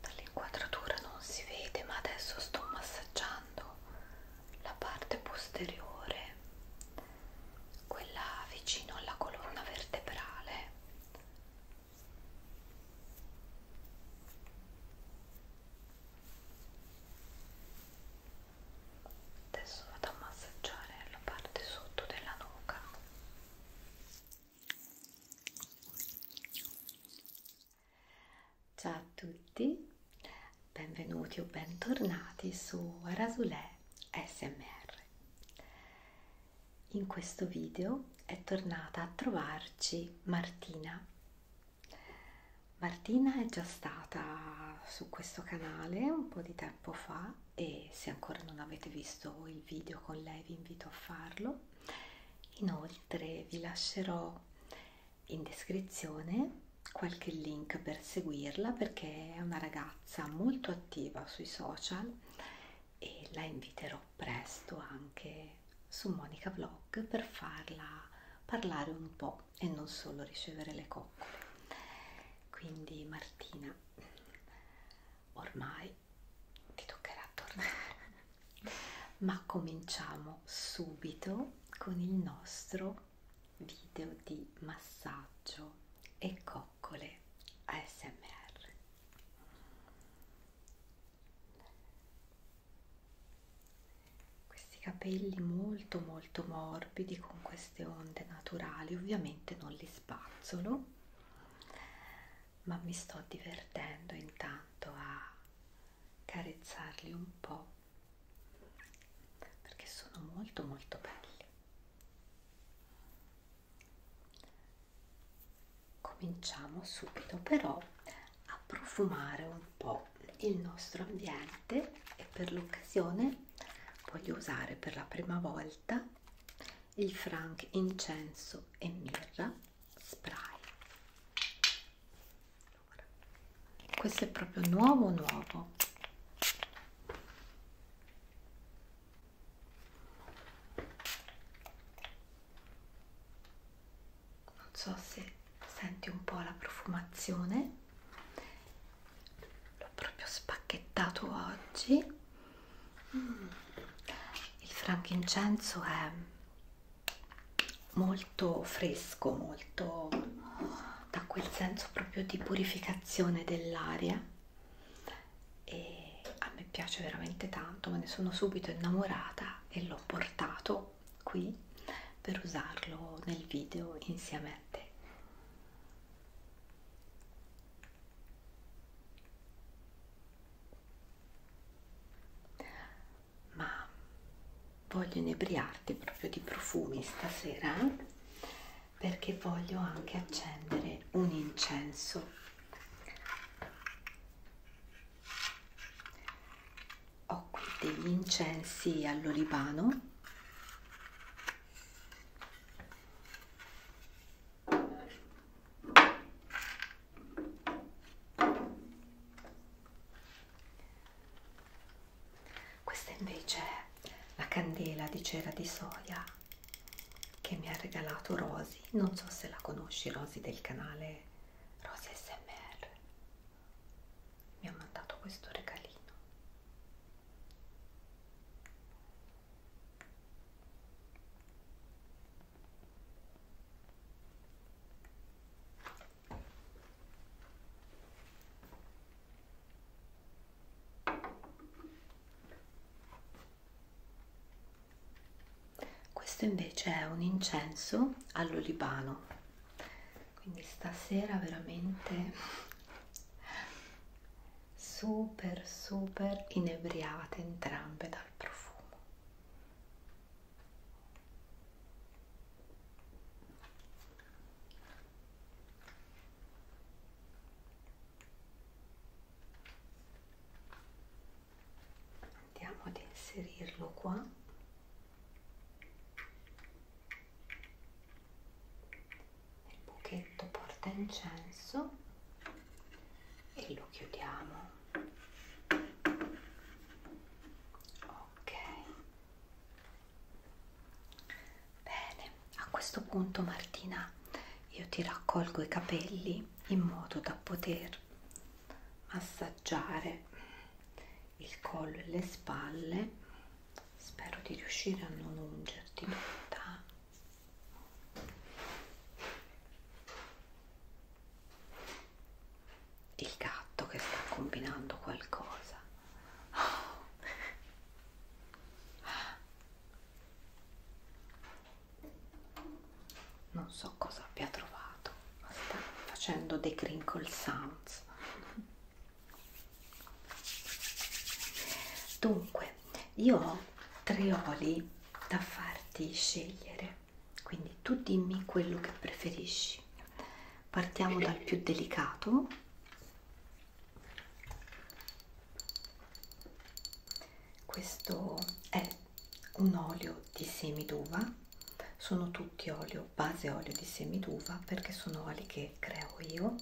Dall'inquadratura non si vede, ma adesso sto massaggiando la parte posteriore, quella vicino alla colonna vertebrale, adesso vado a massaggiare la parte sotto della nuca Ciao a tutti, benvenuti o bentornati su Rasulè SMR. In questo video è tornata a trovarci Martina. Martina è già stata su questo canale un po' di tempo fa e se ancora non avete visto il video con lei vi invito a farlo. Inoltre vi lascerò in descrizione qualche link per seguirla perché è una ragazza molto attiva sui social e la inviterò presto anche su Monica Vlog per farla parlare un po' e non solo ricevere le coccole. Quindi Martina, ormai ti toccherà tornare, ma cominciamo subito con il nostro video di massaggio e coccole ASMR questi capelli molto molto morbidi con queste onde naturali ovviamente non li spazzolo ma mi sto divertendo intanto a carezzarli un po' perché sono molto molto belli cominciamo subito però a profumare un po' il nostro ambiente e per l'occasione voglio usare per la prima volta il Frank incenso e mirra spray allora questo è proprio nuovo nuovo non so se senti un po' la profumazione l'ho proprio spacchettato oggi mm. il frankincenso è molto fresco, molto da quel senso proprio di purificazione dell'aria e a me piace veramente tanto, me ne sono subito innamorata e l'ho portato qui per usarlo nel video insieme a te ma voglio inebriarti proprio di profumi stasera eh? perché voglio anche accendere un incenso ho qui degli incensi all'olivano questa invece è la candela di cera di soia che mi ha regalato Rosy. Non so se la conosci, Rosy del canale Rosy SMR. Mi ha mandato questo regalino. Questo invece è un incenso all'olibano, quindi stasera veramente super super inebriate entrambe dal profumo. Andiamo ad inserirlo qua. Nel buchetto porta incenso e lo chiudiamo. Ok. Bene, a questo punto Martina io ti raccolgo i capelli in modo da poter massaggiare il collo e le spalle. Spero di riuscire a non ungerti tutta il gatto che sta combinando qualcosa oh. non so cosa abbia trovato ma sta facendo dei crinkle sounds dunque io ho tre oli da farti scegliere quindi tu dimmi quello che preferisci partiamo dal più delicato questo è un olio di semi d'uva sono tutti olio base olio di semi d'uva perché sono oli che creo io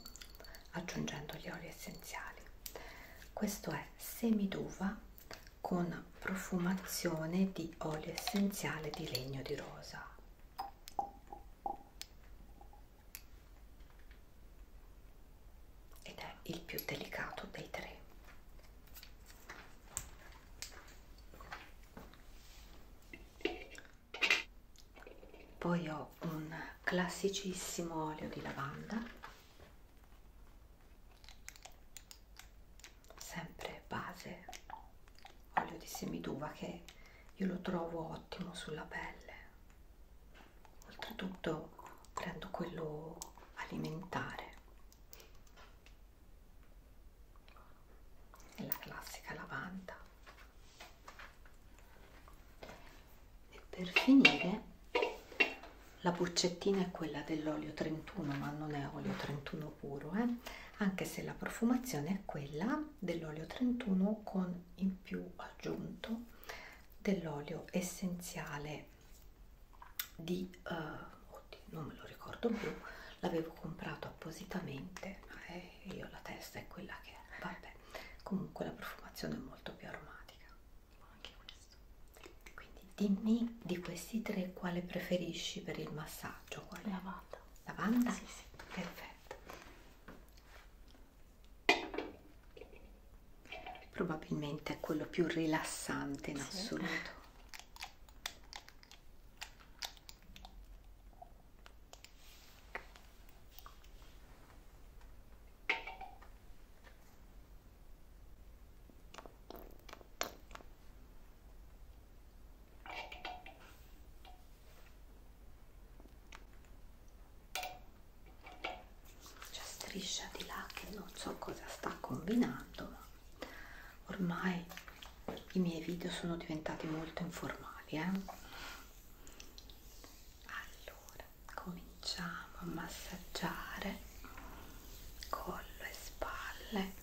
aggiungendo gli oli essenziali questo è semi d'uva con profumazione di olio essenziale di legno di rosa ed è il più delicato dei tre poi ho un classicissimo olio di lavanda sempre base olio di semi d'uva che io lo trovo ottimo sulla pelle oltretutto prendo quello alimentare e la classica lavanda e per finire la boccettina è quella dell'olio 31 ma non è olio 31 31 puro eh? anche se la profumazione è quella dell'olio 31 con in più aggiunto dell'olio essenziale di uh, oddio, non me lo ricordo più l'avevo comprato appositamente e eh, io la testa è quella che è vabbè comunque la profumazione è molto più aromatica anche questo quindi dimmi di questi tre quale preferisci per il massaggio quale lavanda Lavanda? Sì, sì. Perfetto. Probabilmente è quello più rilassante in sì. assoluto. C'è striscia di là che non so cosa sta combinando, ma ormai i miei video sono diventati molto informali. Eh? Allora, cominciamo a massaggiare collo e spalle.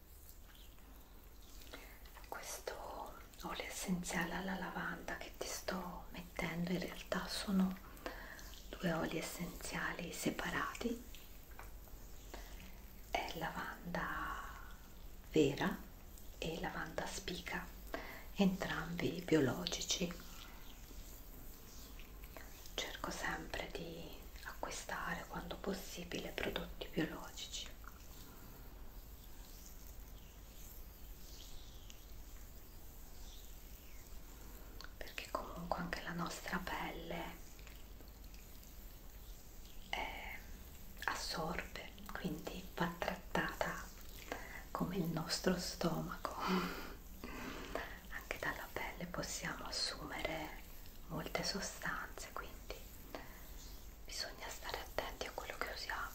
questo olio essenziale alla lavanda che ti sto mettendo in realtà sono due oli essenziali separati è lavanda vera e lavanda spica entrambi biologici cerco sempre di acquistare quando possibile prodotti biologici perché comunque anche la nostra pelle è, assorbe quindi va trattata come il nostro stomaco anche dalla pelle possiamo assumere molte sostanze quindi bisogna stare attenti a quello che usiamo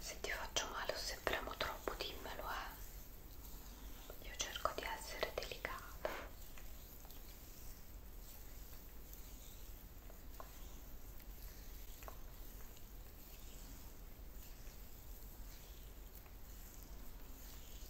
se ti faccio male o se premo troppo dimmelo eh. Io cerco di essere delicata.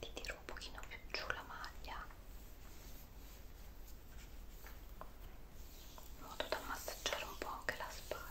ti tiro un pochino più giù la maglia in modo da massaggiare un po' anche la spalla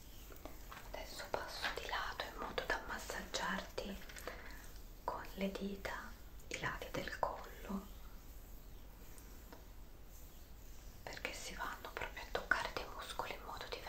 adesso passo di lato in modo da massaggiarti con le dita i lati del collo perché si vanno proprio a toccare dei muscoli in modo diverso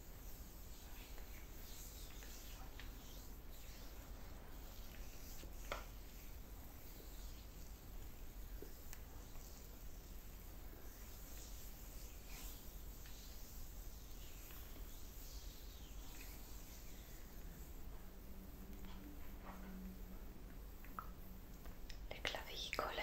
le clavicole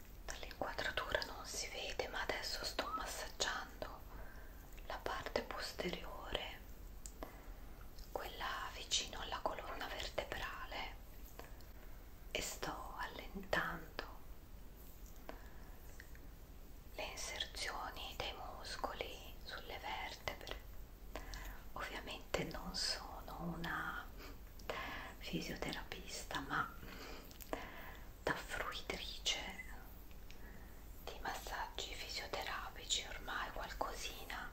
dall'inquadratura non si vede ma adesso sto massaggiando la parte posteriore quella vicino alla colonna vertebrale e sto allentando le inserzioni dei muscoli sulle vertebre ovviamente non sono una fisioterapista ma da fruitrice di massaggi fisioterapici ormai qualcosina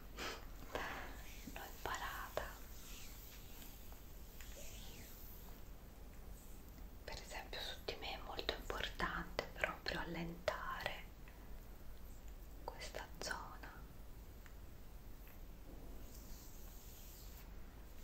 l'ho imparata per esempio su di me è molto importante proprio allentare questa zona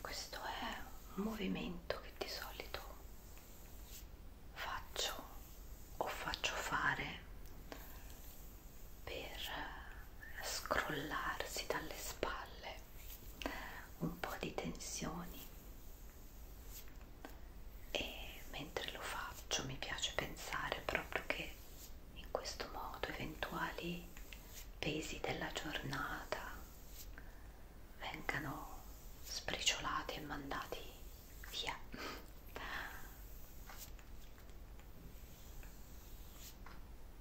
Questo è un movimento che di solito faccio o faccio fare per scrollarsi dalle spalle un po' di tensioni e mentre lo faccio mi piace pensare proprio che in questo modo eventuali pesi della giornata vengano spriciolati e mandati via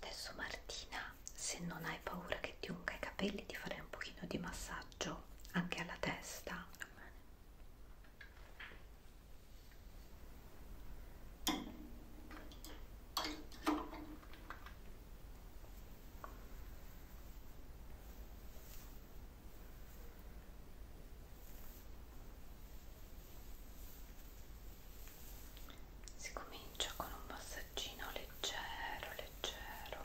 adesso Martina se non hai paura che ti unga i capelli ti farei un pochino di massaggio anche alla testa si comincia con un massaggio massaggino leggero, leggero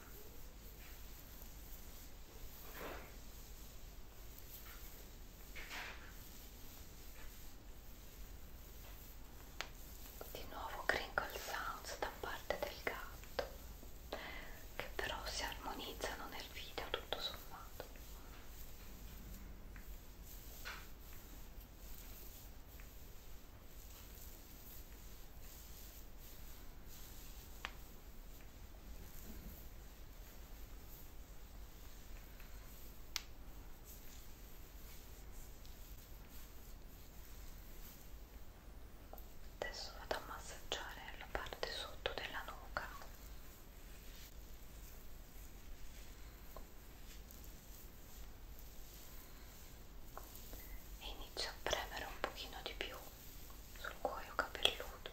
Di nuovo crinkle sounds da parte del gatto che però si armonizzano nel video tutto sommato. Adesso vado a massaggiare la parte sotto della nuca. E inizio a premere un pochino di più sul cuoio capelluto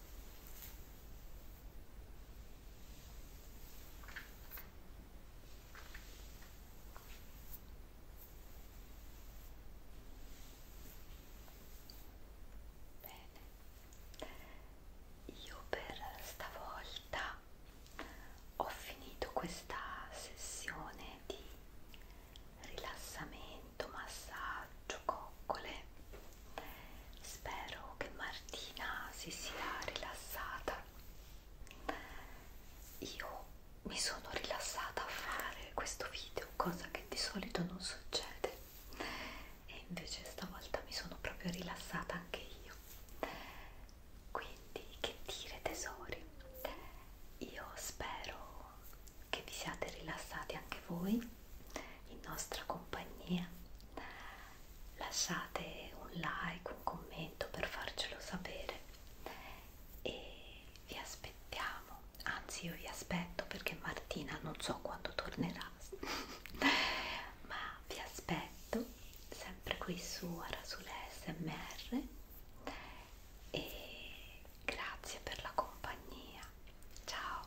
Bene, io per stavolta ho finito questa sessione di rilassamento, massaggio, coccole Spero che Martina si sia rilassata. Io mi sono rilassata a fare questo video, cosa che di solito non succede, e invece stavolta mi sono proprio rilassata anche io. Quindi, che dire, tesori? Io spero che vi siate rilassati anche voi in nostra compagnia lasciate un like un commento per farcelo sapere e vi aspettiamo anzi io vi aspetto perché Martina non so quando tornerà ma vi aspetto sempre qui su Arasule SMR e grazie per la compagnia ciao